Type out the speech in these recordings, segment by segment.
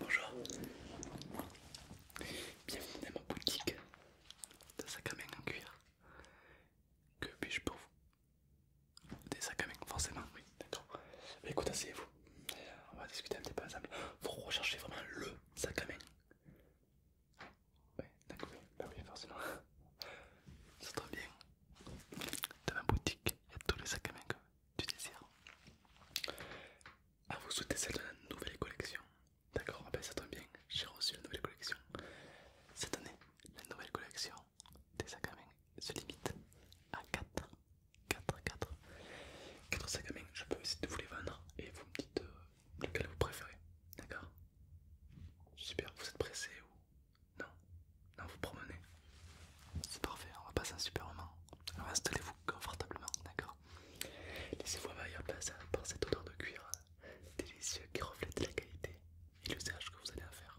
Bonjour, bienvenue dans ma boutique de sac à main en cuir. Que puis-je pour vous Des sacs à main, forcément, oui. D'accord écoute, asseyez-vous. On va discuter un petit peu ensemble. Vous recherchez vraiment le sac à main Oui, d'accord, ah oui, forcément. Ça tombe bien. Dans ma boutique, il y a tous les sacs à main que tu désires. À vous souhaiter celle de la nouvelle collection D'accord, ah bah ça tombe bien, j'ai reçu la nouvelle collection. Cette année, la nouvelle collection des sacs à main se limite à 4 4, 4, 4 sacs à main. Je peux essayer de vous les vendre et vous me dites euh, lequel vous préférez. D'accord Super, vous êtes pressé ou non Non, vous promenez. C'est parfait, on va passer un super moment. Alors installez-vous confortablement, d'accord Laissez-vous envahir par cette odeur de cuir délicieux qui reflète la qualité et l'usage que vous allez en faire.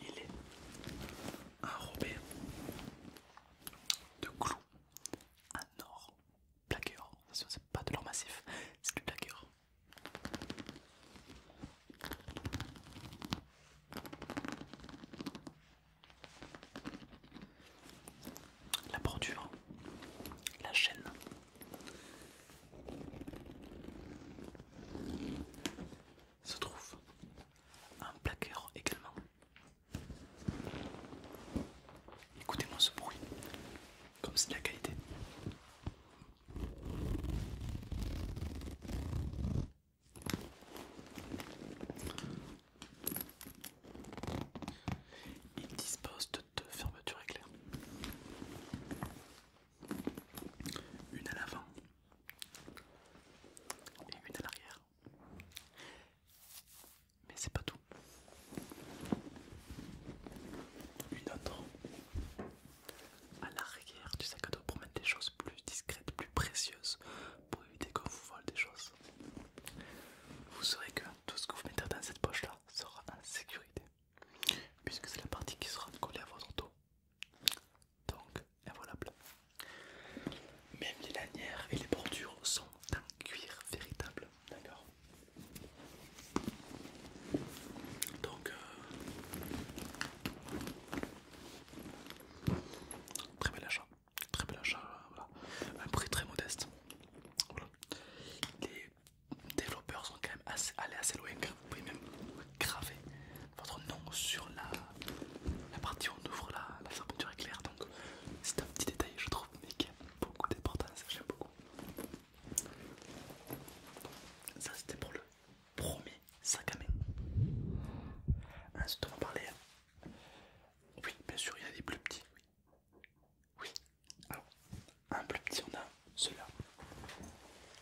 il est arrobé de clous en or plaqué or. c'est pas de l'or massif, c'est du plaqué La bordure, la chaîne, se trouve un placard également. Écoutez-moi ce bruit, comme c'est de la qualité. Il dispose de deux fermetures éclair une à l'avant et une à l'arrière. Mais c'est pas tout. Une autre à l'arrière du sac à dos pour mettre des choses plus discrètes, plus précieuses, pour éviter qu'on vous vole des choses. Vous saurez que tout ce que vous mettez dans cette poche là sera en sécurité puisque c'est la partie qui sera collée à votre dos. Donc, invoilable Même les lanières et les bordures sont en cuir véritable. D'accord Donc, euh, très bel achat. Très bel achat. Voilà. Un prix très modeste. Voilà les développeurs sont quand même assez, assez loin vous pouvez même graver votre nom sur la, partie où on ouvre la, fermeture éclair. Donc c'est un petit détail je trouve mais qui a beaucoup d'importance, j'aime beaucoup. Ça c'était pour le premier sac à main. Ensuite on parler... Oui bien sûr il y a des plus petits. Oui. oui. Alors un plus petit, on a celui-là.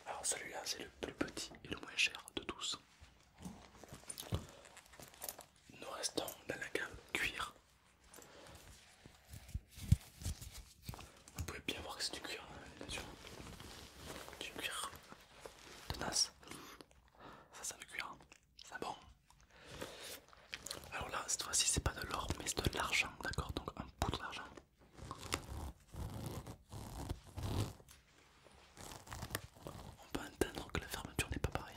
Alors celui-là, c'est le plus petit et le moins cher de tous. Nous restons dans la gamme cuir. Vous pouvez bien voir que c'est du cuir, hein, bien sûr. Du cuir tenace. Ça sent le cuir, hein. c'est bon. Alors là, cette fois-ci, c'est pas de l'or, mais c'est de l'argent, d'accord Donc un bout d'argent on peut entendre que la fermeture n'est pas pareille.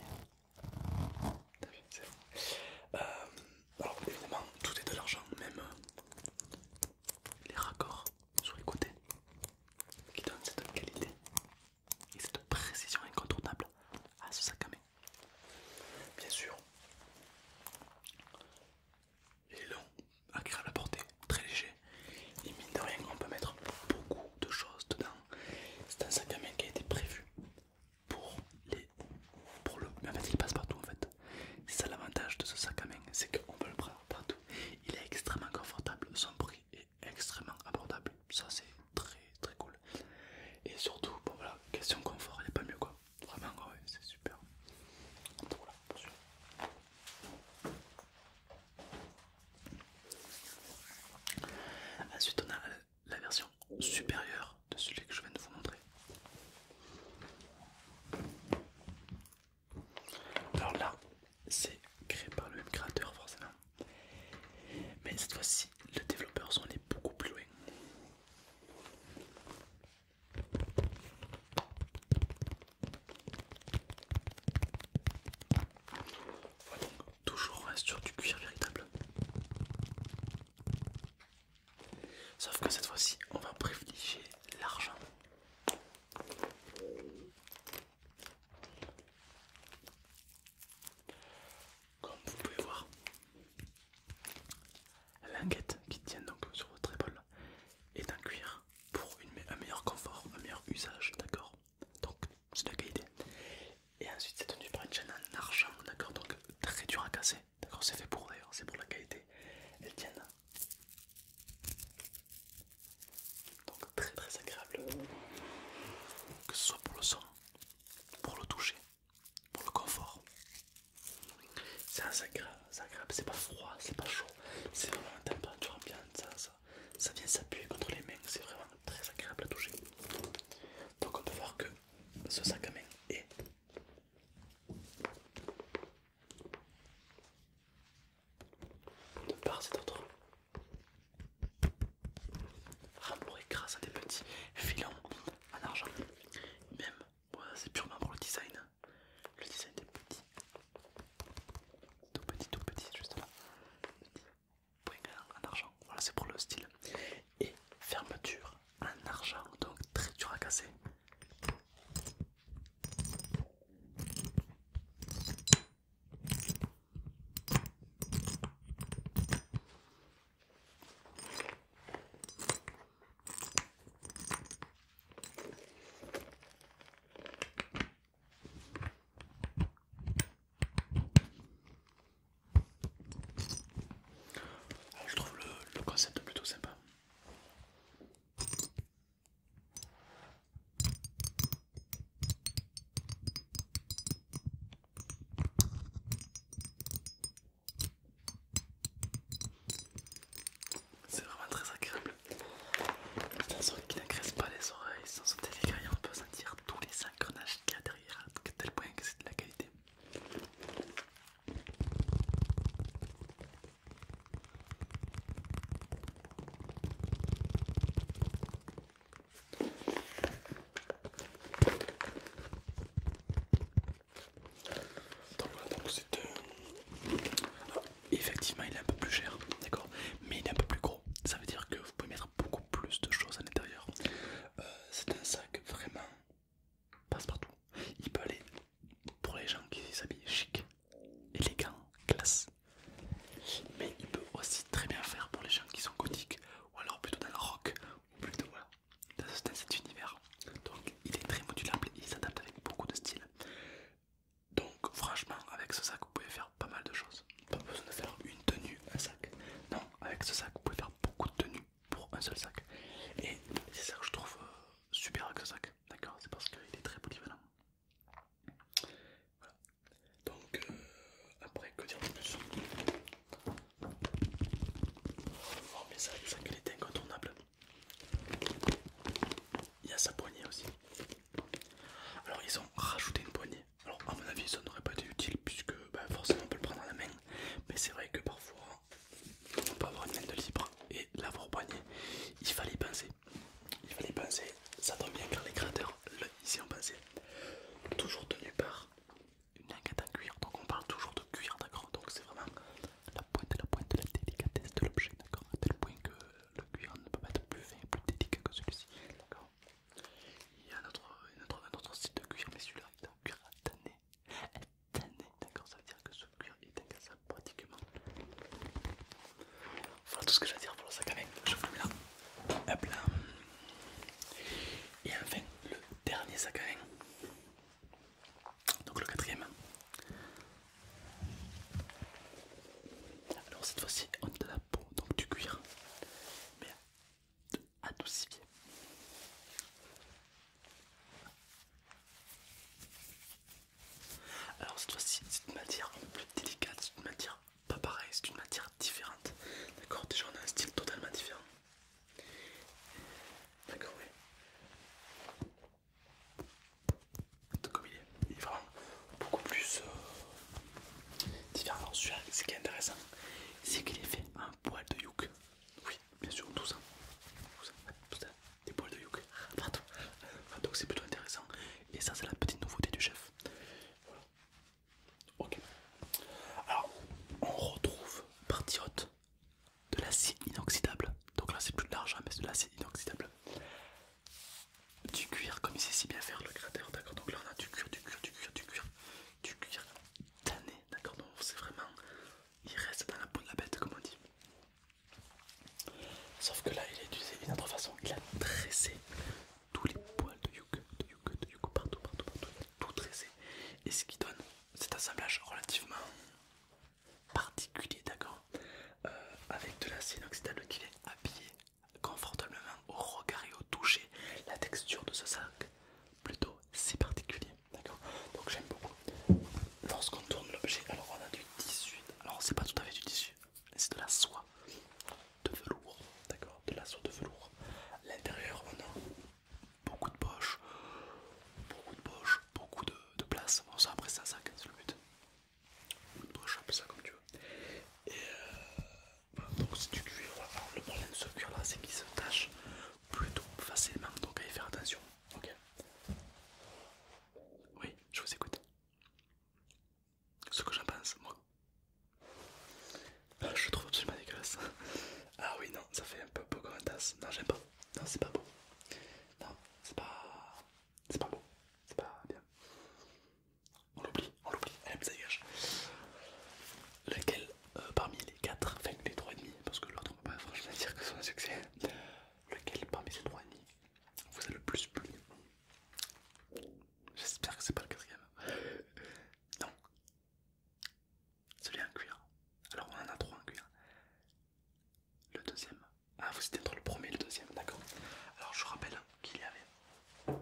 Euh, alors évidemment tout est de l'argent, même euh, les raccords sur les côtés qui donnent cette qualité et cette précision incontournable à ce sac à main. Bien sûr, il est long, agréable à porter, très léger. Et mine de rien, on peut mettre beaucoup de choses dedans. C'est un sac à main qui a été prévu pour les. pour le. Mais en fait, il passe partout en fait. C'est ça l'avantage de ce sac à main, c'est qu'on peut le prendre partout. Il est extrêmement confortable, son prix est extrêmement abordable. Ça, c'est très très cool. Et surtout, bon voilà, question confort, il n'est pas mieux quoi. Vraiment, ouais, c'est super. Ensuite, on a la version supérieure de celui que je viens de vous montrer. Alors là, c'est créé par le même créateur, forcément. Mais cette fois-ci, le développeur sont les beaucoup plus loin. Voilà, donc, toujours sur du cuir véritable. Sauf que cette fois-ci, on va privilégier l'argent. Comme vous pouvez voir, la languette qui tient donc sur votre épaule est en cuir pour une, un meilleur confort, un meilleur usage, d'accord Donc c'est de la qualité. Et ensuite c'est tenu par une chaîne en argent, d'accord Donc très dur à casser, d'accord C'est fait pour d'ailleurs, c'est pour la qualité. Elle tient donc très très agréable, euh, que ce soit pour le son, pour le toucher, pour le confort. C'est un sac agréable, c'est pas froid, c'est pas chaud, c'est vraiment une température ambiante, ça, vient s'appuyer contre les mains, c'est vraiment très agréable à toucher. Donc on peut voir que ce sac à main est de part et d'autre rembourré grâce à des petits filons en argent, même voilà, c'est purement pour le design. Le design est petit Tout petit, tout petit, juste là. point en argent. Voilà, c'est pour le style. Et fermeture en argent, donc très dur à casser je trouve le concept plutôt sympa. C'est vraiment très agréable. C'est un n'agresse pas les oreilles, sans s'en son on peut sentir tous les engrenages qu'il y a derrière, à tel point que c'est de la qualité. Donc c'est euh, effectivement, il est un peu plus cher, d'accord Mais il est un peu plus gros. Ça veut dire que vous pouvez mettre beaucoup plus de choses à l'intérieur. Euh, c'est un sac vraiment passe-partout. Il peut aller pour les gens qui s'habillent chic, élégant, classe. Mais il peut aussi très bien faire pour les gens qui sont gothiques, ou alors plutôt dans le rock, ou plutôt d'assister cet univers. Donc il est très modulable et il s'adapte avec beaucoup de styles. Donc franchement avec ce sac vous pouvez faire pas mal de choses. Pas besoin de faire une tenue, un sac. Non, avec ce sac vous pouvez faire beaucoup de tenues pour un seul sac. Et c'est ça que je trouve euh, super avec ce sac. D'accord C'est parce qu'il est très polyvalent. Voilà. Donc euh, après que dire de plus Oh, mais ça, ça qu'elle incontournable. Il y a sa poignée aussi. Alors, ils ont rajouté une poignée. Alors, à mon avis, ça n'aurait pas été utile puisque ben, forcément on peut le prendre à la main. Mais c'est vrai que parfois on peut avoir une main de libre et l'avoir poignée Il fallait penser. Il fallait penser. Ça tombe bien car les créateurs, là, ici, ont pensé. Toujours tenu par une en cuir, donc on parle toujours de cuir, d'accord Donc c'est vraiment la pointe, la pointe, la délicatesse de l'objet, d'accord À tel point que le cuir ne peut pas être plus fin et plus délicat que celui-ci, d'accord Il y a un autre style de cuir, mais celui-là est un cuir tanné, tanné, d'accord Ça veut dire que ce cuir est ça pratiquement. Voilà tout ce que j'ai à dire pour le sac à main, je vous mets là. là. Et enfin, le Dernier sac à main. Donc le quatrième. Alors cette fois-ci on a de la peau, donc du cuir, mais adoucifié. Alors cette fois-ci c'est une matière un peu plus délicate, c'est une matière pas pareille, c'est une matière différente. D'accord Déjà on a un style totalement différent. D'accord, oui. comme il est, il est vraiment beaucoup plus euh, différent. là ce qui est intéressant, c'est qu'il est fait en poil de yuc. Oui, bien sûr, tout ça. Des poils de yuc. Pardon. Donc, c'est plutôt intéressant. Et ça, c'est la petite nouveauté du chef. Voilà. Ok. Alors, on retrouve partie haute de l'acier inoxydable. Donc là, c'est plus de l'argent, mais c'est de l'acide inoxydable. Du cuir, comme il sait si bien faire le cratère d'accord Donc là, on a du cuir, du cuir, du cuir, du cuir, du cuir tanné, d'accord Donc c'est vraiment. Il reste dans la peau de la bête, comme on dit. Sauf que là, il est utilisé une autre façon. Il a dressé tous les poils de yuk, de yuk, de partout, partout, partout tout tressé et ce qui donne cet assemblage relativement particulier, d'accord euh, Avec de l'acier inoxydable qui est habillé confortablement au regard et au toucher, la texture de ce sac plutôt si particulier, d'accord Donc j'aime beaucoup. Lorsqu'on tourne l'objet, alors on a du tissu, alors c'est pas tout à fait du tissu, c'est de la soie de velours, d'accord De la soie de velours. L'intérieur, on a beaucoup de poches, beaucoup de poches, beaucoup de, place. Bon, ça après, ça, ça, c'est le but. Une poche, peu ça comme tu veux. Et euh, donc, c'est du cuir. le problème de ce cuir là, c'est qu'il se tache plutôt facilement, donc à faire attention. Ok Oui, je vous écoute. Ce que j'en pense, moi, je ah, je trouve absolument dégueulasse. Ah oui, non, ça fait un peu beau comme un tasse. Non, j'aime pas. Non, c'est pas beau. Non, c'est pas. C'est pas beau. C'est pas bien. On l'oublie, on l'oublie. Elle aime ça dégage. Lequel euh, parmi les 4, enfin les 3,5, parce que l'autre on peut pas franchement dire que c'est un succès. Lequel parmi ces 3,5 vous a le plus plu J'espère que c'est pas le quatrième. Non, celui en cuir. Alors on en a trois en cuir. Le deuxième. Ah vous étiez entre le premier et le deuxième, d'accord. Alors je rappelle qu'il y avait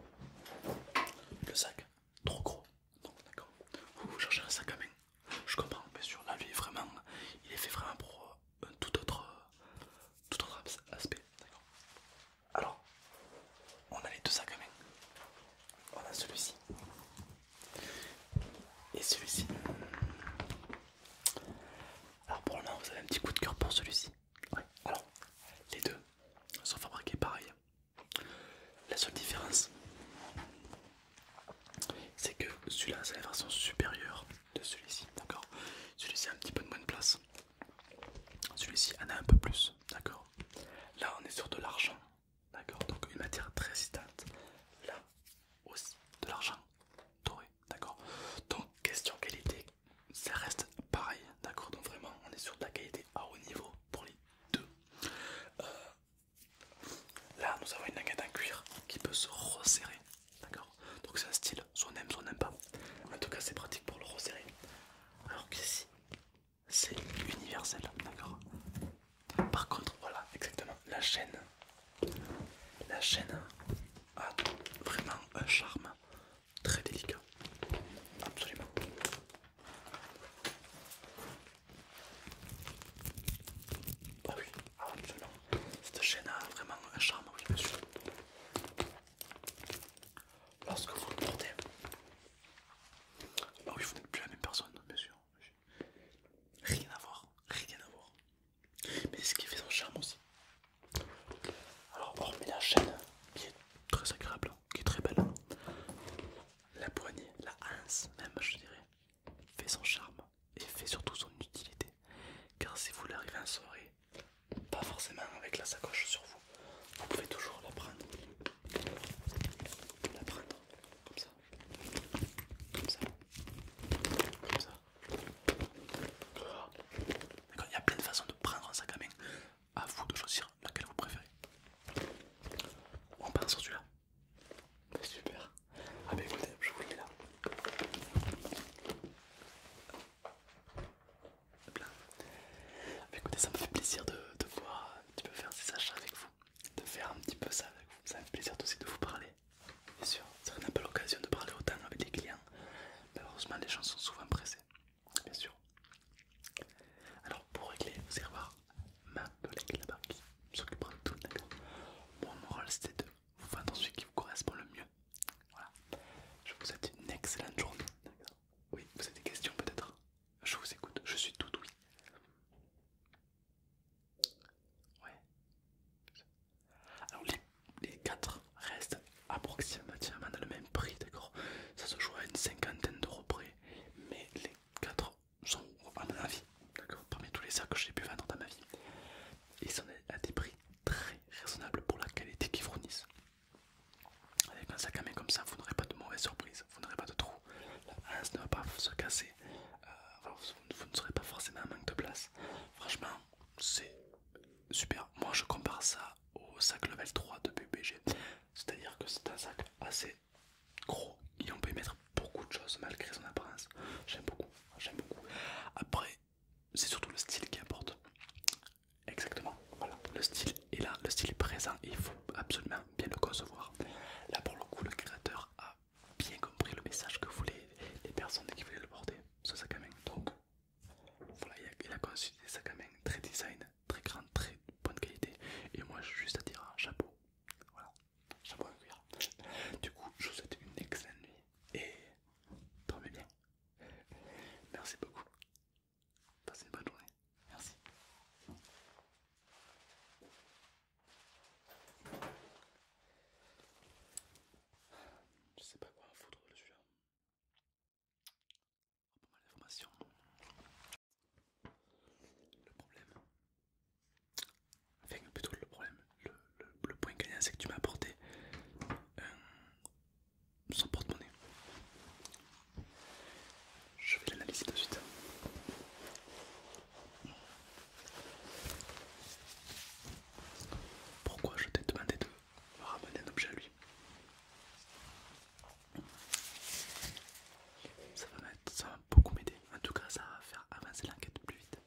le sac trop gros. Donc d'accord. Vous cherchez un sac à main. Je comprends, mais sur la vie vraiment, il est fait vraiment pour euh, un tout autre, euh, tout autre aspect. D'accord. Alors, on a les deux sacs quand même. On a celui-ci. Et celui-ci. Alors pour le moment, vous avez un petit coup de cœur pour celui-ci. Alors, les deux sont fabriqués pareil. La seule différence, c'est que celui-là, c'est la version supérieure de celui-ci. D'accord Celui-ci a un petit peu de moins de place. Celui-ci en a un peu plus, d'accord Là, on est sur de l'argent, d'accord Donc une matière très résistante. Là aussi, de l'argent doré, d'accord Donc, question qualité, ça reste pareil, d'accord Donc vraiment, on est sur de la qualité à haut niveau pour les deux. Euh, là, nous avons une languette en cuir qui peut se resserrer, d'accord Donc c'est un style, soit on aime, soit on n'aime pas. En tout cas, c'est pratique pour le resserrer. Alors qu'ici, c'est universel, d'accord Par contre, voilà, exactement, la chaîne, la chaîne a vraiment un charme très délicat, absolument. Ah oui, absolument. Cette chaîne a vraiment un charme, oui, monsieur. Lorsque vous le portez, bah oui, vous n'êtes plus la même personne, bien sûr. Rien à voir, rien à voir. Mais c'est ce qui fait son charme aussi. Alors, hormis la chaîne qui est très agréable, hein, qui est très belle, hein, la poignée, la hanse même, je dirais, fait son charme et fait surtout son utilité. Car si vous l'arrivez en soirée, pas forcément avec la sacoche sur vous. Vous pouvez toujours la prendre, la prendre comme ça, comme ça, comme ça. il y a plein de façons de prendre un sac à main. À vous de choisir laquelle vous préférez. On part sur celui-là. Super. Ah bah écoutez, je vous le mets là écoutez, ça me fait plaisir de, de un faire ces achats avec vous, de faire un petit peu ça avec vous. Ça me fait plaisir aussi de vous parler. Bien sûr, ça n'a pas l'occasion de parler autant avec des clients. heureusement les gens sont souvent pressés. Bien sûr. Alors, pour régler, vous allez voir ma collègue là-bas qui s'occupera de tout, d'accord Mon moral, c'était de vous vendre celui qui vous correspond le mieux. Voilà. Je vous souhaite une excellente journée. Oui, vous avez des questions peut-être Je vous écoute, je suis tout oui. Ouais. Alors les, les quatre restent approximativement dans le même prix, d'accord Ça se joue à une cinquantaine d'euros près, mais les quatre sont à mon avis, d'accord Parmi tous les sacs que j'ai pu vendre dans ma vie, ils sont à des prix très raisonnables pour la qualité qu'ils fournissent. Avec un sac à main comme ça, vous n'aurez pas de mauvaise surprises vous n'aurez pas de trou, la hanse ne va pas se casser, euh, vous, ne serez pas forcément en manque de place. Franchement, c'est super. Moi je compare ça au sac level 3 de BBG, c'est-à-dire que c'est un sac assez gros et on peut mettre beaucoup de choses malgré son apparence. J'aime beaucoup, j'aime beaucoup. Après, c'est surtout le style qui importe. Exactement, voilà, le style est là, le style est présent et il faut absolument bien le concevoir. Là pour le coup le créateur a bien compris le message que voulaient les personnes qui voulaient le porter, ce sac à main. Donc voilà, il a, conçu des sacs à très design, très grande, très bonne qualité. Et moi je juste à dire un chapeau. Voilà, chapeau à cuir. Du coup je vous souhaite une excellente nuit et dormez bien. Merci beaucoup. Passez une bonne journée. Merci. Je sais pas quoi foutre de là Pas mal d'informations. Le problème. Enfin, plutôt le problème. Le, point gagnant, c'est que tu m'as apporté son porte-monnaie. Je vais l'analyser tout de suite. Pourquoi je t'ai demandé de ramener un objet à lui ça va, ça va beaucoup m'aider. En tout cas, ça va faire avancer l'enquête plus vite.